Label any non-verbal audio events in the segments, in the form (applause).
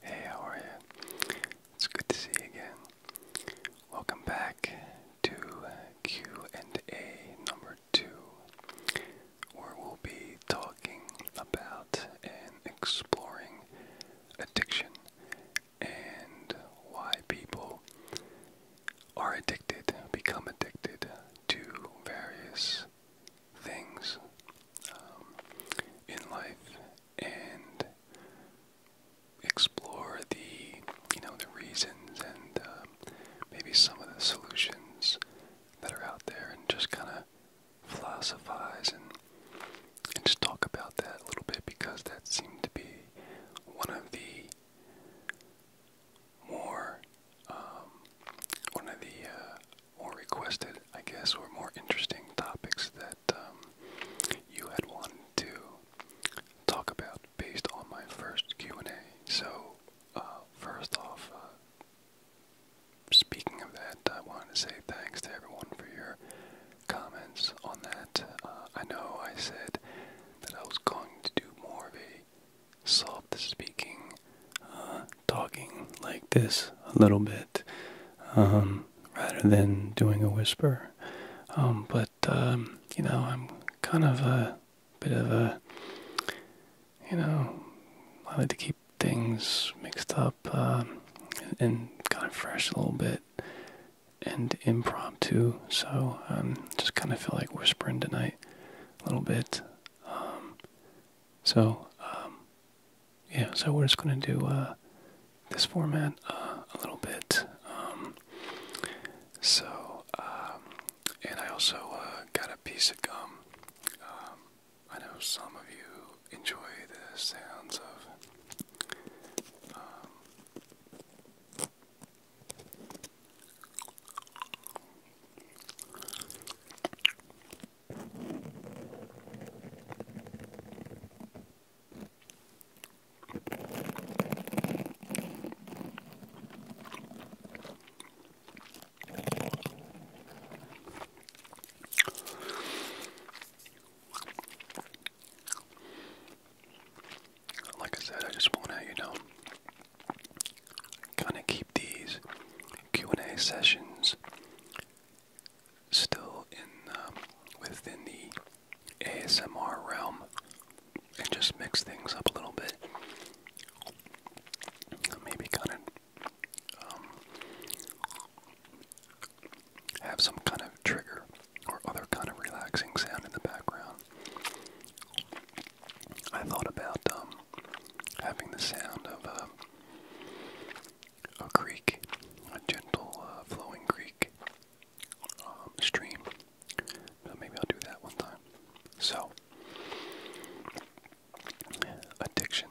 Hey, how are you? It's good to see you again. Welcome back to Q and A number two, where we'll be talking about and exploring addiction and why people are addicted, become addicted to various things um, in life and explore the you know the reasons and um, maybe some of the solutions that are out there and just kind of philosophize and and just talk about that a little bit because that seemed to be one of the more um, one of the uh, or requested, I guess, or more interesting topics that um, you had wanted to talk about based on my first Q&A. So, uh, first off, uh, speaking of that, I wanted to say thanks to everyone for your comments on that. Uh, I know I said that I was going to do more of a soft speaking talking like this a little bit um, rather than doing a whisper. Um, but um, you know, I'm kind of a bit of a you know, I like to keep things mixed up and kind of fresh a little bit and impromptu. So um, just kind of feel like whispering tonight a little bit. so yeah, so we're just going to do uh, this format uh, a little bit. Um, so, um, and I also uh, got a piece of gum. Um, I know some of you enjoy the sounds of. Like I said, I just want to, you know, kind of keep these Q&A sessions still in um, within the ASMR realm and just mix things up a little bit. Maybe kind of um, have some kind of trigger or other kind of relaxing sound in the background. I thought about um, having the sound of uh, a creek, a gentle uh, flowing creek um, stream. maybe I'll do that one time. So, addiction.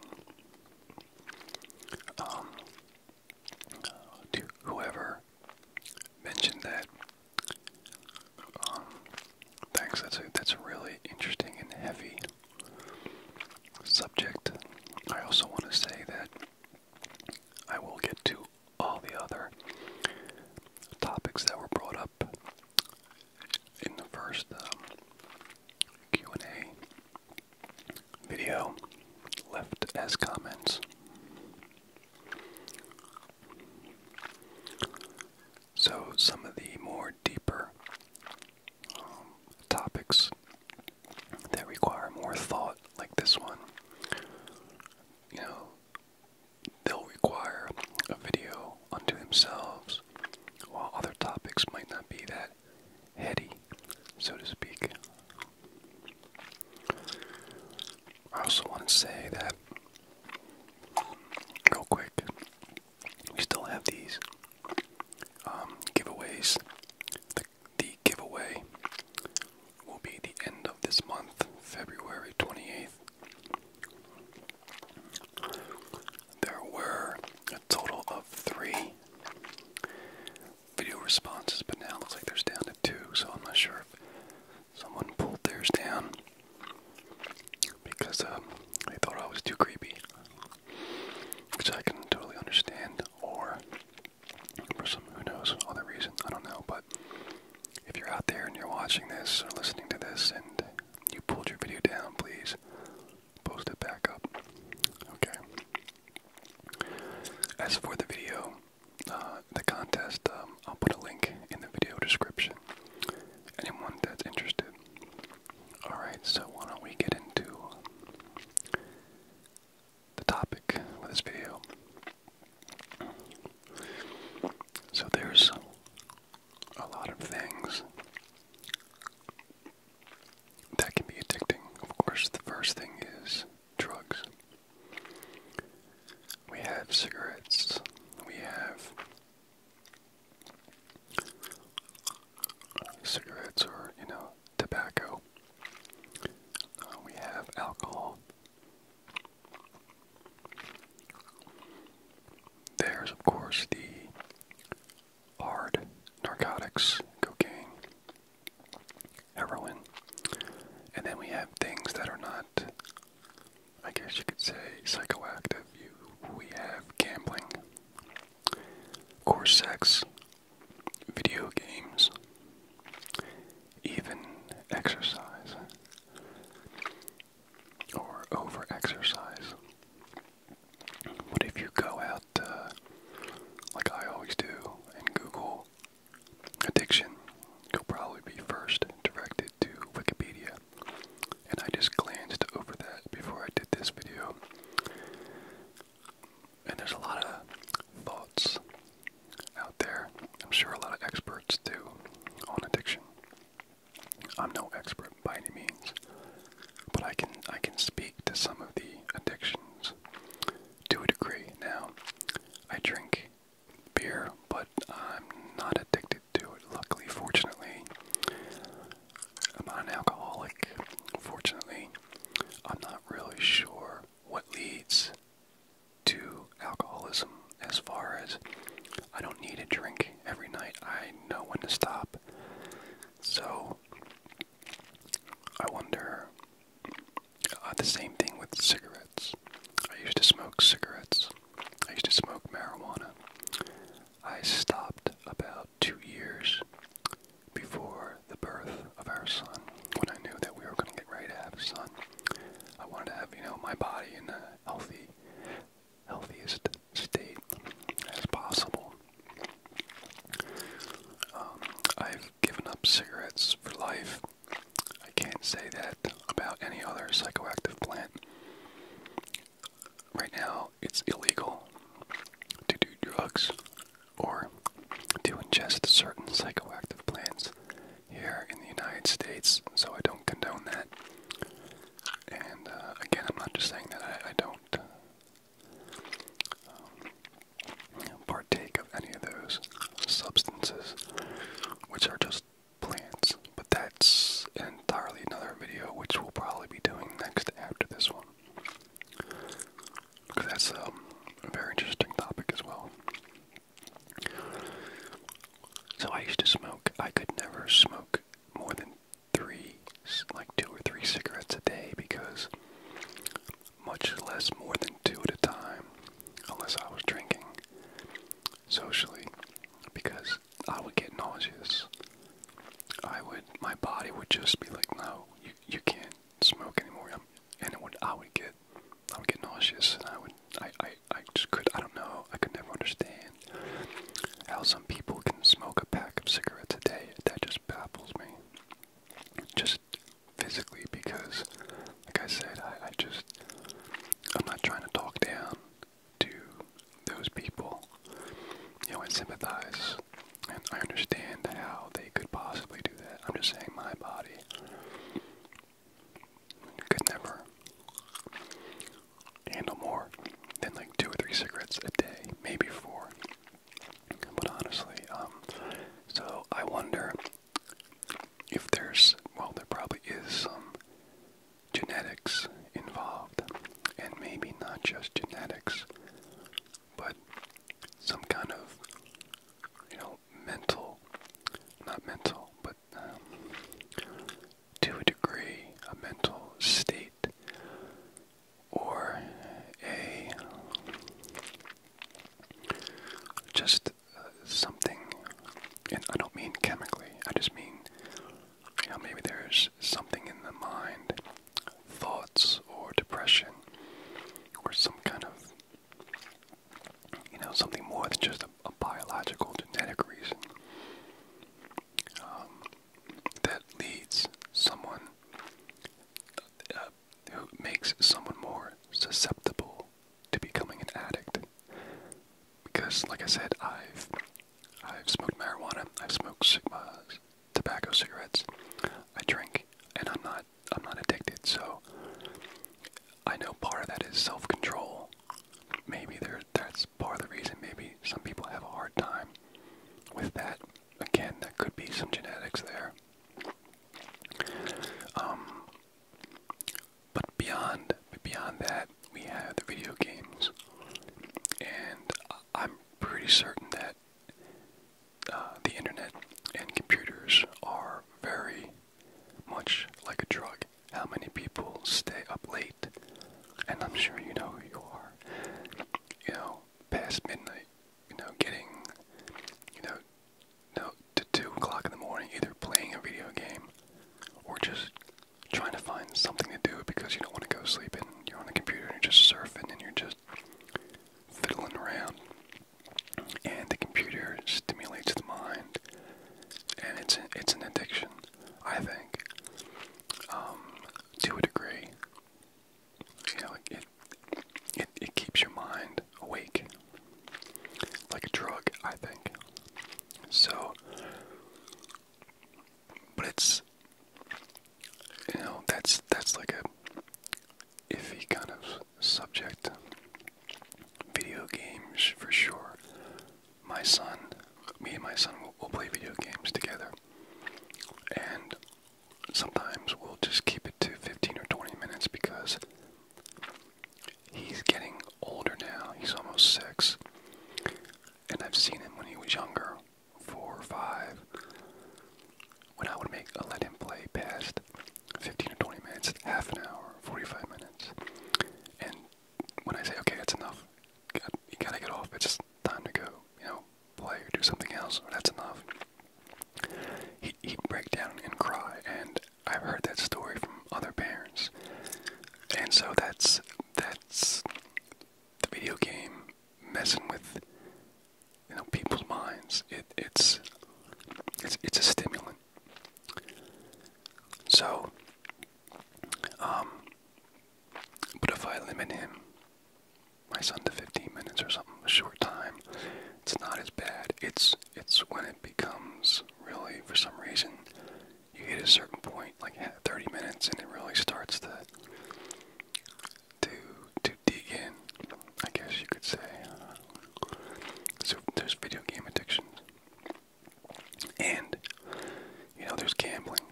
Um, to whoever mentioned that, um, thanks. That's that's really interesting and heavy subject. I also want to say that I will get to all the other topics that were brought up in the first um, Q&A video left as comments. So some of the more deeper topics that require more thought, like this one, you know, they'll require a video unto themselves, while other topics might not be that heady, so to speak. I also want to say that, real quick, we still have these um, giveaways the giveaway will be the end of this month, February 28th. There were a total of three video responses, but now it looks like there's down to two, so I'm not sure if someone pulled theirs down because um, they thought I was too creepy which I can totally understand, or for some who knows other reasons, I don't know. But if you're out there and you're watching this or listening to this and you pulled your video down, please post it back up. Okay. As for the video, uh, the contest, um, I'll put a link in the video description. Anyone that's interested. Alright, so why don't we get into the topic of this video. So there's a lot of things that can be addicting. Of course, the first thing is drugs. We have cigarettes. We have cigarettes or, you know, tobacco. Uh, we have alcohol. There's, of course, the hard narcotics, cocaine, heroin. And then we have things that are not, I guess you could say, psychoactive. You, we have gambling, coarse sex, video games, even exercise or over exercise. But if you go out, uh, like I always do, and Google addiction, you'll probably be first directed to Wikipedia. And I just glanced over that before I did this video. And there's a lot of thoughts out there. I'm sure a lot of experts do on addiction. I'm no expert by any means, but I can I can speak to some of the addictions to a degree. Now, I drink beer, but I'm not addicted to it. Luckily, fortunately, I'm not an alcoholic. Fortunately, I'm not really sure what leads to alcoholism as far as I don't need a drink every night. I know when to stop. So I wonder uh, the same thing with cigarettes. I used to smoke cigarettes. I used to smoke marijuana. I stopped about two years before the birth of our son, when I knew that we were going to get ready to have a son, I wanted to have, you know, my body in a healthy, healthiest state as possible. Um, I've given up cigarettes for life. I can't say that about any other psychoactive plant. Right now, it's illegal to do drugs or to ingest certain psychoactive plants here in the United States, so I don't condone that. And uh, again, I'm not just saying that I, don't uh, um, partake of any of those substances, which are just plants, but that's entirely another video which we'll probably be doing next after this one. Because that's um, a very interesting topic as well. So I used to smoke. I could never smoke more than three, like two or three cigarettes a day because much less more than two at a time, unless I was drinking socially, because I would get nauseous. I would, my body would just be like, no, you, you can't, smoke anymore. I'm, and it would, I would get, I would get nauseous, and I would, I, I, I just could, I don't know, I could never understand how some people can smoke a pack of cigarettes a day. That just baffles me. Just physically, because, like I said, I, I just, I'm not trying to talk down to those people. You know, I sympathize and I understand how they could possibly do that. I'm just saying my body could never handle more than like two or three cigarettes a day, maybe four. But honestly, um, so I wonder if there's, well, there probably is some genetics involved, and maybe not just genetics, but some kind of, you know, mental, not mental, but um, to a degree, a mental state or a just uh, something, and I don't mean chemically, I just mean, you know, maybe there's something in the mind thoughts or depression or some kind of, you know, something more than just a, biological genetic reason um, that leads someone, uh, who makes someone more susceptible to becoming an addict. Because, like I said, I've I've smoked marijuana, I've smoked uh, tobacco, cigarettes, I drink, and I'm not I'm not addicted, so I know part of that is self-control. Maybe there that's part of the reason. Maybe some people have a hard time with that. Again, that could be some genetics there. Um, but beyond beyond that, we have the video games, and I'm pretty certain that uh, the internet and computers are very much like a drug. How many people stay up late? And I'm sure you know who you are. You know, past midnight. You know, getting, you know, you to two o'clock in the morning, either playing a video game or just trying to find something to do because you don't want to go sleep and you're on the computer and you're just surfing and you're just fiddling around. And the computer stimulates the mind, and it's an, it's an addiction, I think, um, to a degree. You know, it, it it keeps your mind awake, like a drug, I think. So, but it's you know that's that's like a iffy kind of subject. Video games for sure. My son, me and my son will play video games together. And sometimes we'll just keep it to 15 or 20 minutes because he's getting older now. He's almost six. And I've seen him when he was younger, four or five when I would make uh, let him play past 15 or 20 minutes, half an hour, 45 minutes. And when I say, okay, that's enough, you gotta get off, it's time to go, you know, play or do something else, that's enough. He, he'd break down and cry, and I've heard that story from other parents. And so that's, that's the video game messing with you know people's minds. It, it's it's it's a stimulant. So, um, but if I limit him, my son to 15 minutes or something, short time, it's not as bad. It's it's when it becomes really for some reason you hit a certain point, like 30 minutes, and it really starts to to to dig in, I guess you could say. Uh, so there's video game addictions, and you know there's gambling,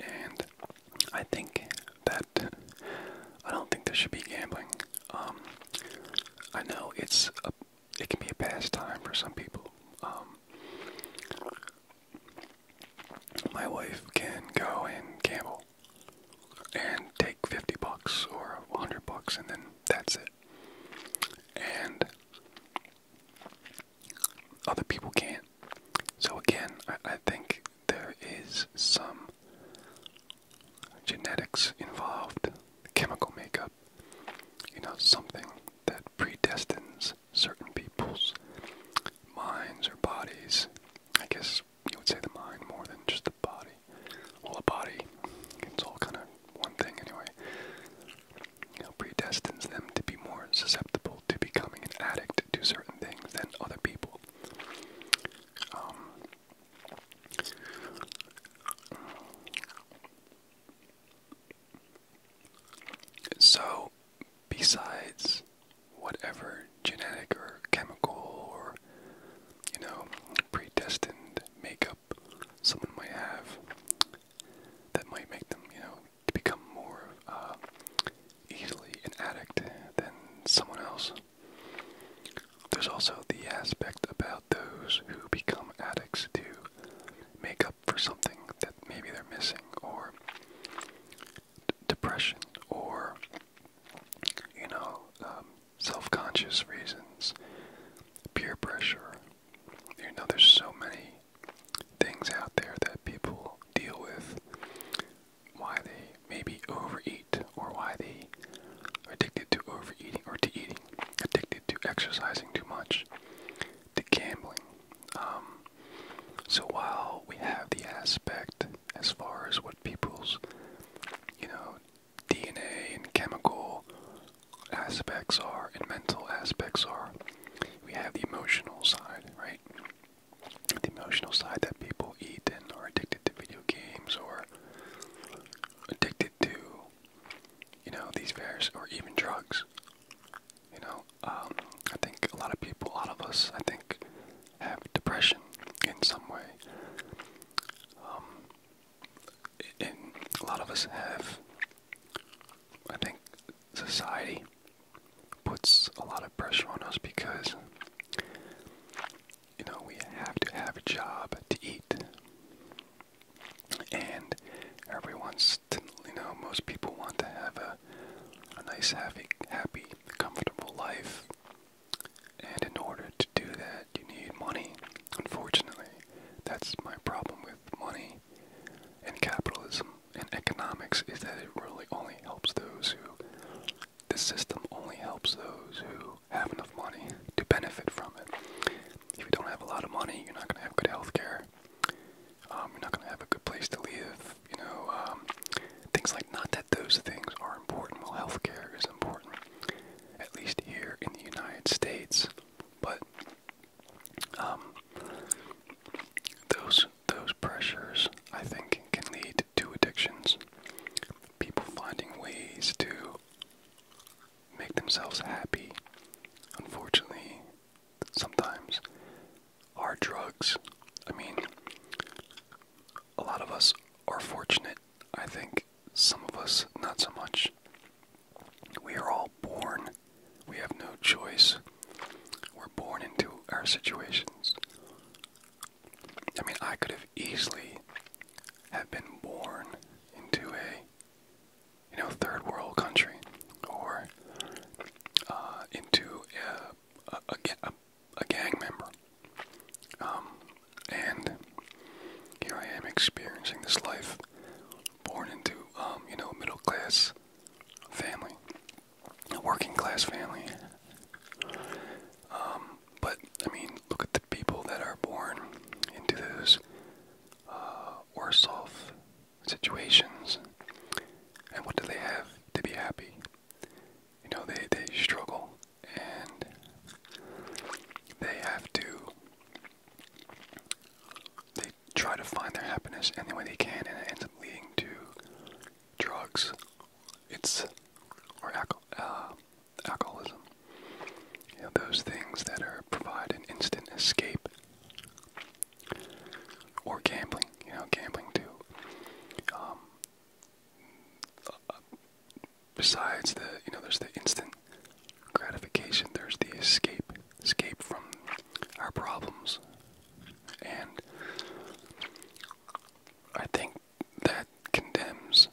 and I think that I don't think there should be gambling. Um, I know it's a, it can be a pastime for some people. Um, my wife can go and gamble and take 50 bucks or 100 bucks and then that's it. And other people can't. So again, I think there is some genetics involved, chemical makeup, you know, something that predestines certain people's minds or bodies. I guess you would say the mind more than just the body. Well, the body, it's all kind of one thing anyway. You predestines them to be more susceptible to becoming an addict to certain things than other people. Um, so, besides whatever are genetic or chemical or, you know, predestined makeup someone might have that might make them, you know, to become more uh, easily an addict than someone else. There's also the aspect about those who become addicts to make up for something that maybe they're missing, or depression, or you know, um, self conscious reasons, peer pressure. You know, there's so many things out there that people deal with, why they maybe overeat, or why they are addicted to overeating or to eating, addicted to exercising too much, to gambling. Um, so while we have the aspect as far as what people's, you know, DNA and chemical aspects are and mental aspects are. We have the emotional side, right? The emotional side that people eat and are addicted to video games or addicted to, you know, these various, or even drugs. You know, um, I think a lot of people, a lot of us, I think, have depression in some way. Um, and a lot of us have, I think, society puts a lot of pressure on us because, you know, we have to have a job to eat. And everyone's, you know, most people want to have a, a nice, happy, happy, comfortable life. And in order to do that, you need money. Unfortunately, that's my problem with money and capitalism and economics is that it really only helps those who the system only helps those who have enough money to benefit from it. If you don't have a lot of money, you're not going to have good health care. Um, you're not going to have a good place to live. You know, um, things like not that those things are important. Well, health care is important at least here in the United States. But um, those those pressures, I think, can lead to addictions. People finding ways to make themselves happy. Unfortunately, sometimes are drugs. I mean, a lot of us are fortunate. I think some of us not so much. We are all born. We have no choice. We're born into our situations. I mean, I could have easily have been born into a, you know, third world country, or uh, into a, a, a, a gang member. Um, and here I am experiencing this life, born into, um, you know, middle class family, a working class family. Um, but, I mean, look at the people that are born into those uh, worse off situations. And what do they have to be happy? You know, they, they struggle and they have to they try to find their happiness any way they can and it ends up leading to drugs it's or uh, alcoholism you know those things that are provide an instant escape or gambling you know gambling too um, besides the you know there's the instant gratification, there's the escape escape from our problems. And I think that condemns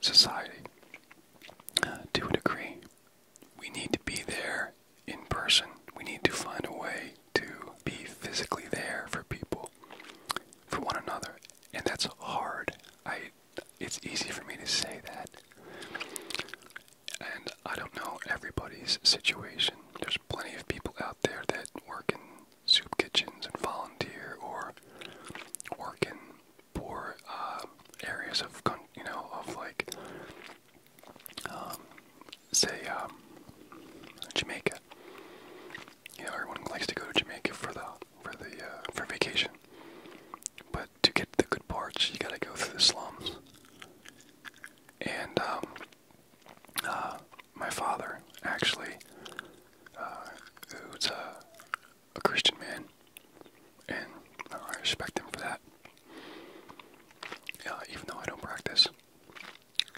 society uh, to a degree. We need to be there in person. We need to find a way to be physically there for people, for one another, and that's hard. I it's easy for me to say that. And I don't know everybody's situation. There's plenty of people out there that work in soup kitchens and volunteer or work in poor um, areas of, you know, of like, um, say, um, Jamaica. Yeah, everyone likes to go to Jamaica for the for the uh, for vacation. But to get the good parts, you gotta go through the slums. And um, uh, my father, actually, uh, who's a, a Christian man, and I respect him for that. Yeah, uh, even though I don't practice,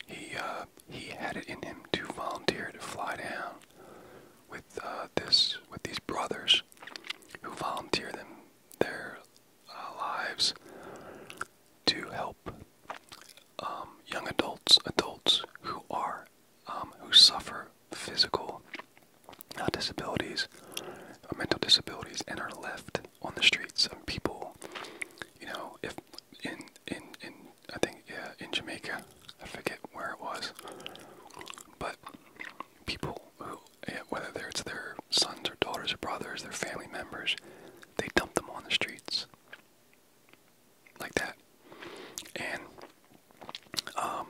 he uh, he had it in him to volunteer to fly down with uh, this with these brothers who volunteer them their uh, lives to help um, young adults, adults who are um, who suffer physical uh, disabilities, mental disabilities, and are left on the streets. of people, you know, if in in in I think in Jamaica. I forget where it was, but people who, whether they're, it's their sons or daughters or brothers, their family members, they dump them on the streets like that. And um,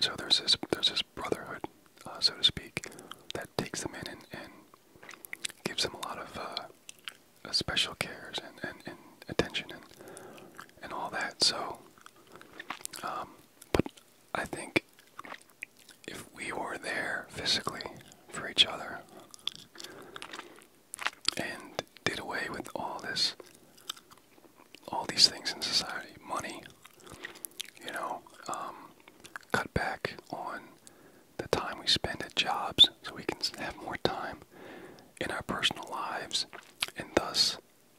so there's this there's this brotherhood, uh, so to speak, that takes them in and, gives them a lot of uh, special cares and, and attention and and all that. So um, but I think if we were there physically for each other and did away with all this, all these things in society, money, you know, um, cut back on the time we spend at jobs so we can have more time in our personal lives and thus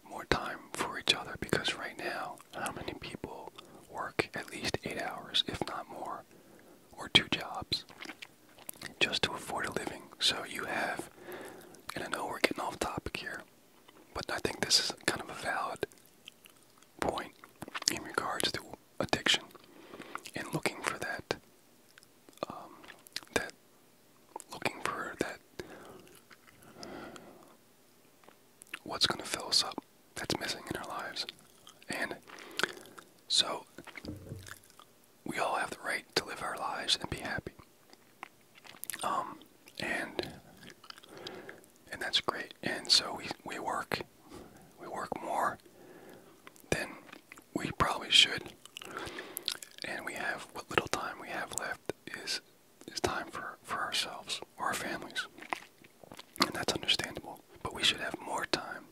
more time for each other because right now, how many people work at least eight hours, if not more, or two jobs just to afford a living? So you have, and I know we're getting off topic here, but I think this is kind of a valid point in regards to addiction and looking for that um, that looking for that. What's going to fill us up that's missing in our lives? And so, we all have the right to live our lives and be happy. Um, and and that's great. And so we we work, we work more than we probably should, and we have what little time we have left is is time for for ourselves or our families, and that's understandable. But we should have more time,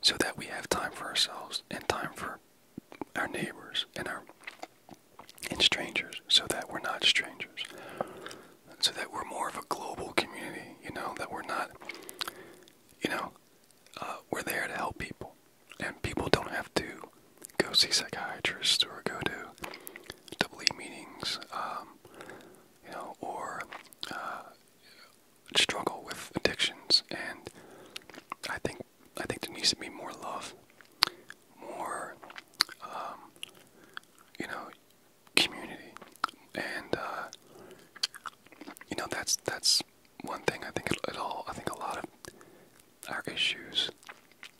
so that we have time for ourselves and time for our neighbors and our and strangers, so that we're not strangers, so that we're more of a global community. You know that we're not, you know, uh, we're there to help people. And people don't have to go see psychiatrists or go to double meetings, um, you know, or uh, struggle with addictions. And I think I think there needs to be more love, more, um, you know, community, and uh, you know that's that's one thing I think at all, I think a lot of our issues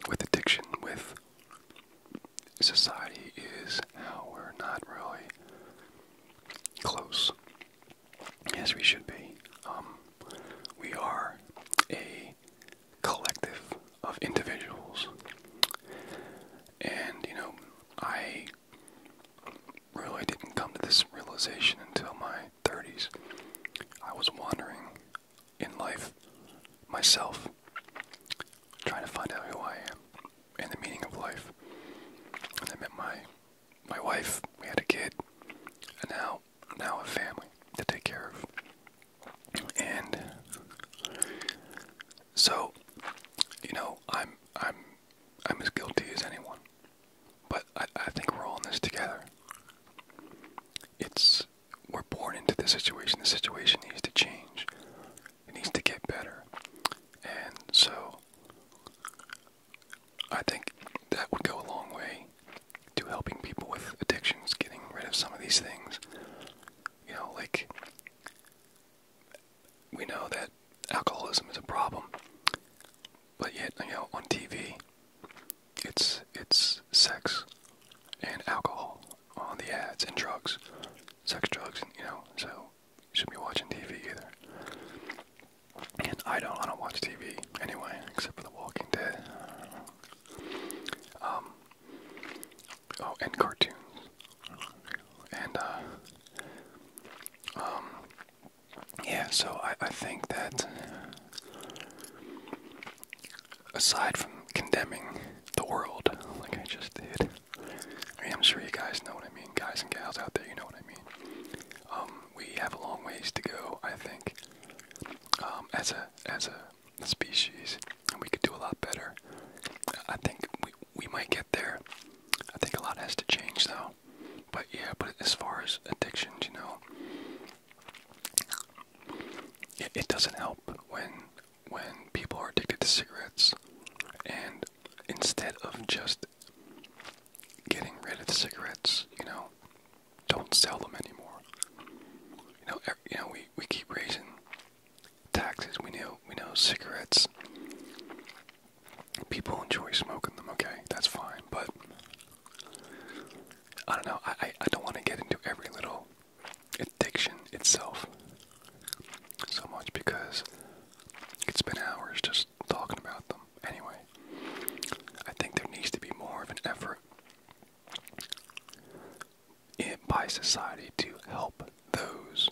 with addiction, with society, is how we're not really close as we should be. Um, we are a collective of individuals, and you know, I really didn't come to this realization until my 30s, I was wandering in life myself, trying to find out who I am and the meaning of life. And I met my my wife. We had a kid, and now now a family to take care of. And so, you know, I'm I'm I'm as guilty as anyone. But I, think we're all in this together. It's we're born into this situation. The situation needs to change. It needs to get better. And so I think that would go a long way to helping people with addictions, getting rid of some of these things. You know, like we know that alcoholism is a problem, but yet, you know, on TV, it's it's sex and alcohol on the ads and drugs, sex, drugs, and you know. So you shouldn't be watching TV either. And I don't, I don't watch TV anyway, except for The Walking Dead. Um. Oh, and cartoons, and uh. Um. Yeah, so I I think that Aside from condemning the world, like I just did, I am sure you guys know what I mean, guys and gals out there, you know what I mean. Um, we have a long ways to go, I think, um, as a as a species, and we could do a lot better. I think we we might get there. I think a lot has to change, though. But yeah, but as far as addiction, you know, it, doesn't help when when people are addicted to cigarettes, and instead of just getting rid of the cigarettes, you know, don't sell them anymore. You know, you know, we, we keep raising taxes. We know we know cigarettes. People enjoy smoking them. Okay, that's fine, but I don't know. I I, don't want to get into every little addiction itself so much because it's been hours just talking about them. Anyway, I think there needs to be more of an effort in, by society to help those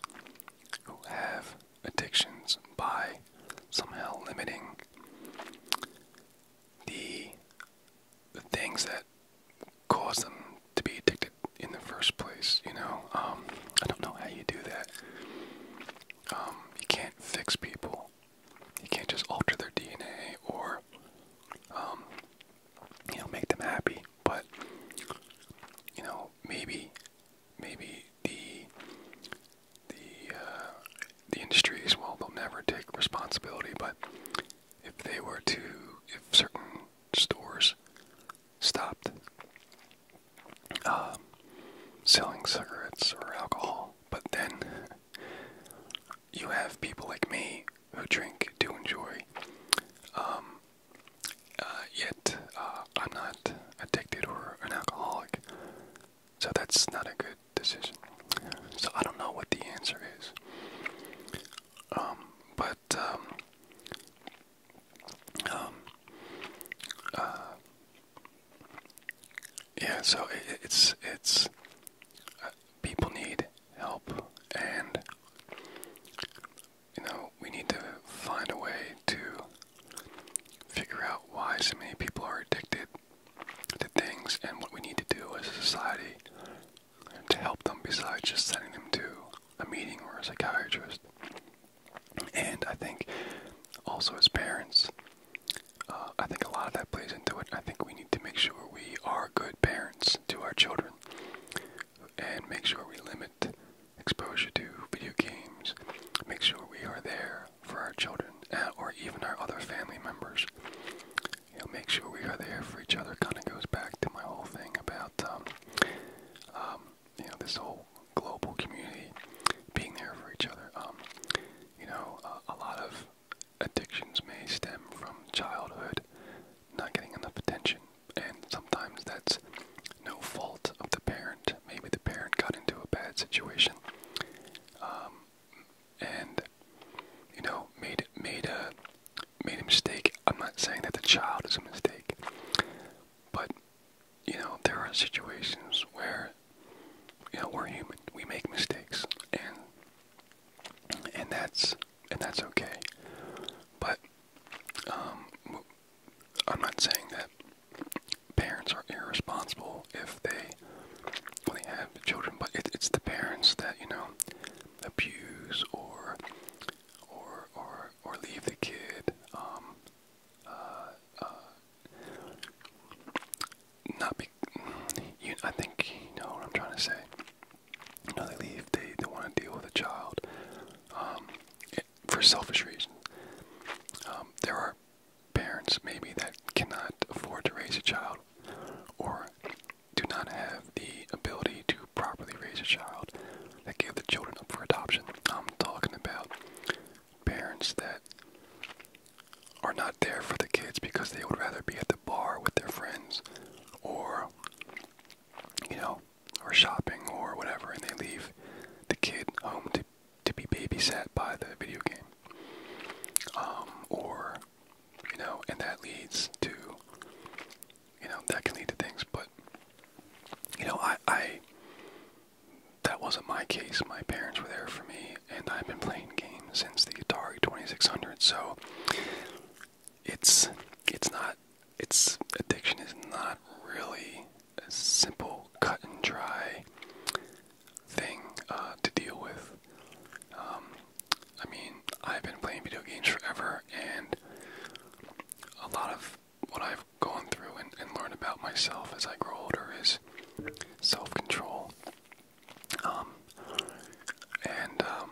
who have addictions by somehow limiting the the things that cause them to be addicted in the first place. You know, um, I don't know how you do that. Um, you can't fix people. You can't just alter their DNA or, um, you know, make them happy. But you know, maybe, maybe the the uh, the industries. well, they'll never take responsibility, but if they were to, if certain stores stopped um, selling cigarettes or alcohol, but then you have people like me who drink to enjoy, um, uh, yet uh, I'm not addicted or an alcoholic. So that's not a good decision. So I don't know what the answer is. Um, but um, um, uh, yeah. So it's it's uh, people need help, and you know we need to find a way to figure out why so many people are addicted to things and what we need to do as a society to help them besides just sending them to a meeting or a psychiatrist. And I think also as parents, uh, I think a lot of that plays into it. I think we need to make sure we are good parents to our children and make sure we limit exposure to video games, make sure we are there for our children or even our other family members you know, make sure we are there for each other kind of goes back to my whole thing about, um, um, you know, this whole global community being there for each other. Um, you know, a lot of addictions may stem from childhood, not getting enough attention, and sometimes that's no fault of the parent. Maybe the parent got into a bad situation and you know made made a made a mistake. I'm not saying that the child is a mistake, but you know there are situations where you know we're human. We make mistakes, and and that's and that's okay. But um, I'm not saying that parents are irresponsible if they well, they have the children, but it, it's the parents that you know abuse or or or or leave the kid, um, uh, uh, not be. You, I think you know what I'm trying to say. You know, they leave. They they want to deal with a child um, it, for selfish reasons. Um, there are parents maybe that cannot afford to raise a child child or do not have the ability to properly raise a child that give the children up for adoption. I'm talking about parents that are not there for the kids because they would rather be at the bar with their friends or you know or shopping or whatever and they leave the kid home to to be babysat by the video game. Um, or you know, and that leads to you know that can lead to things. But you know, I I that wasn't my case. My parents were there for me, and I've been playing games since the Atari Twenty Six Hundred. So it's it's not it's addiction is not really a simple cut and dry thing uh, to deal with. Um, I mean, I've been playing video games forever, and a lot of what I've gone through and, learned about myself as I grow older is self control. Um, and um,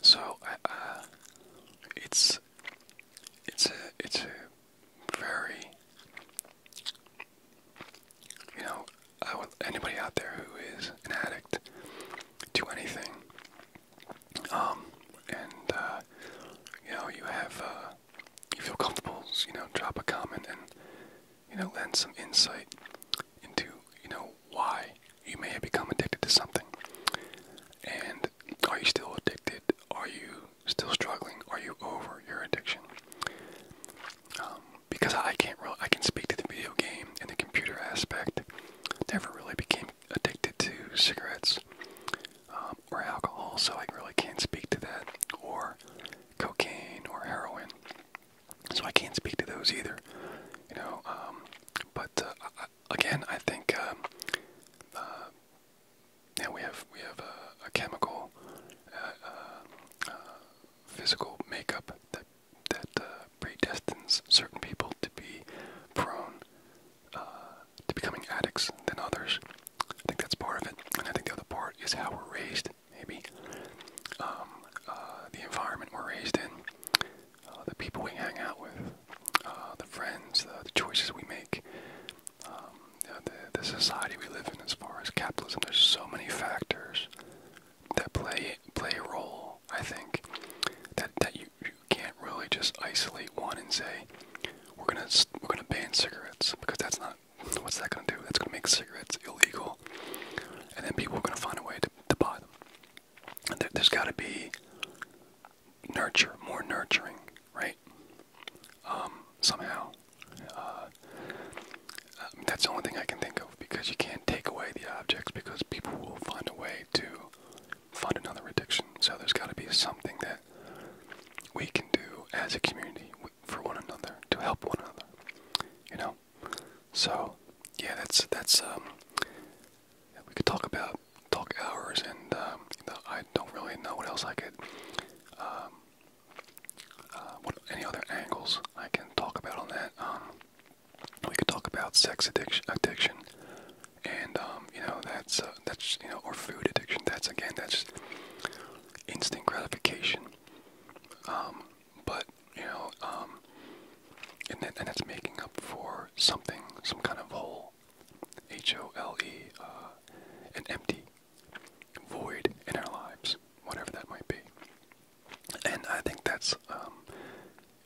so uh, it's it's a it's a very you know I want anybody out there who is an addict to anything. Um, and uh, you know, you have uh, you feel comfortable, you know, drop a comment and you know lend some insight into you know why you may have become addicted to something. And are you still addicted? Are you still struggling? Are you over your addiction? Um, because I can't really, I can speak to the video game and the computer aspect. Never really became addicted to cigarettes um, or alcohol, so I really can't speak to that, or cocaine or heroin. So I can't speak to those either, you know. Um, but uh, again, I think now um, uh, we have we have a, chemical, uh, physical makeup that that uh, predestines certain people to be prone uh, to becoming addicts than others. I think that's part of it, and I think the other part is how we're raised. Maybe um, uh, the environment we're raised in, the people we hang out with, the friends, the, choices we make, um, the society we live in. As far as capitalism, there's so many factors that play play a role. I think that that you, you can't really just isolate one and say we're gonna we're gonna ban cigarettes because that's not what's that gonna do? That's gonna make cigarettes illegal, and then people are gonna find a way to, to buy them. And there, has got to be nurture, more nurturing, right? Um, somehow. Uh, that's the only thing I can think of because you can't take away the objects because people will find a way to find another addiction. So there's got to be something that we can do as a community for one another to help one another. You know. So yeah, that's that's um. We could talk about talk hours, and um, you know, I don't really know what else I could. Um, uh, what any other angles I can talk about on that? Um, we could talk about sex addiction, addiction, and um, you know that's uh, that's you know or food addiction. That's again that's instant gratification. Um, but you know, um, and and that's making up for something, some kind of hole, H O L E, uh, an empty void in our lives, whatever that might be. And I think that's, um,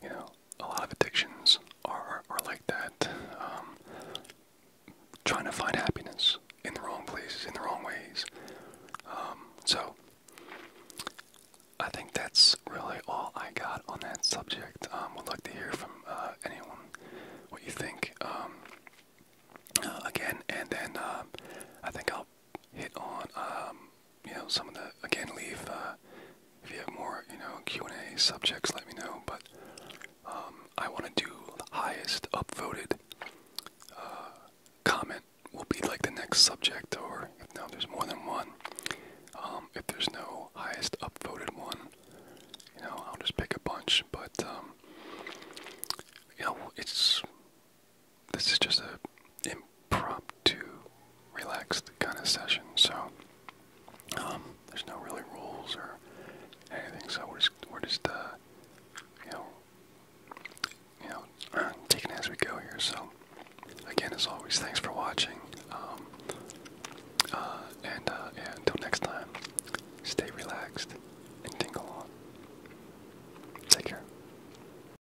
you know, a lot of addictions are, are like that. Um, trying to find happiness in the wrong places, in the wrong ways. Um, so, I think that's really all I got on that subject. Um, would like to hear from uh, anyone what you think. Uh, again, and then uh, I think I'll hit on, um, you know, some of the, again, leave, uh, if you have more, you know, Q&A subjects, let me know, but, um, I want to do highest upvoted, uh, comment will be, like, the next subject, or, if now there's more than one, um, if there's no highest upvoted one, you know, I'll just pick a bunch, but, um, you know, it's, this is just a impromptu, relaxed kind of session. So um, there's no really rules or anything. So we're just we're just uh, you know you know (clears throat) taking as we go here. So again, as always, thanks for watching. Um, uh, and uh, until next time, stay relaxed and tingle on. Take care.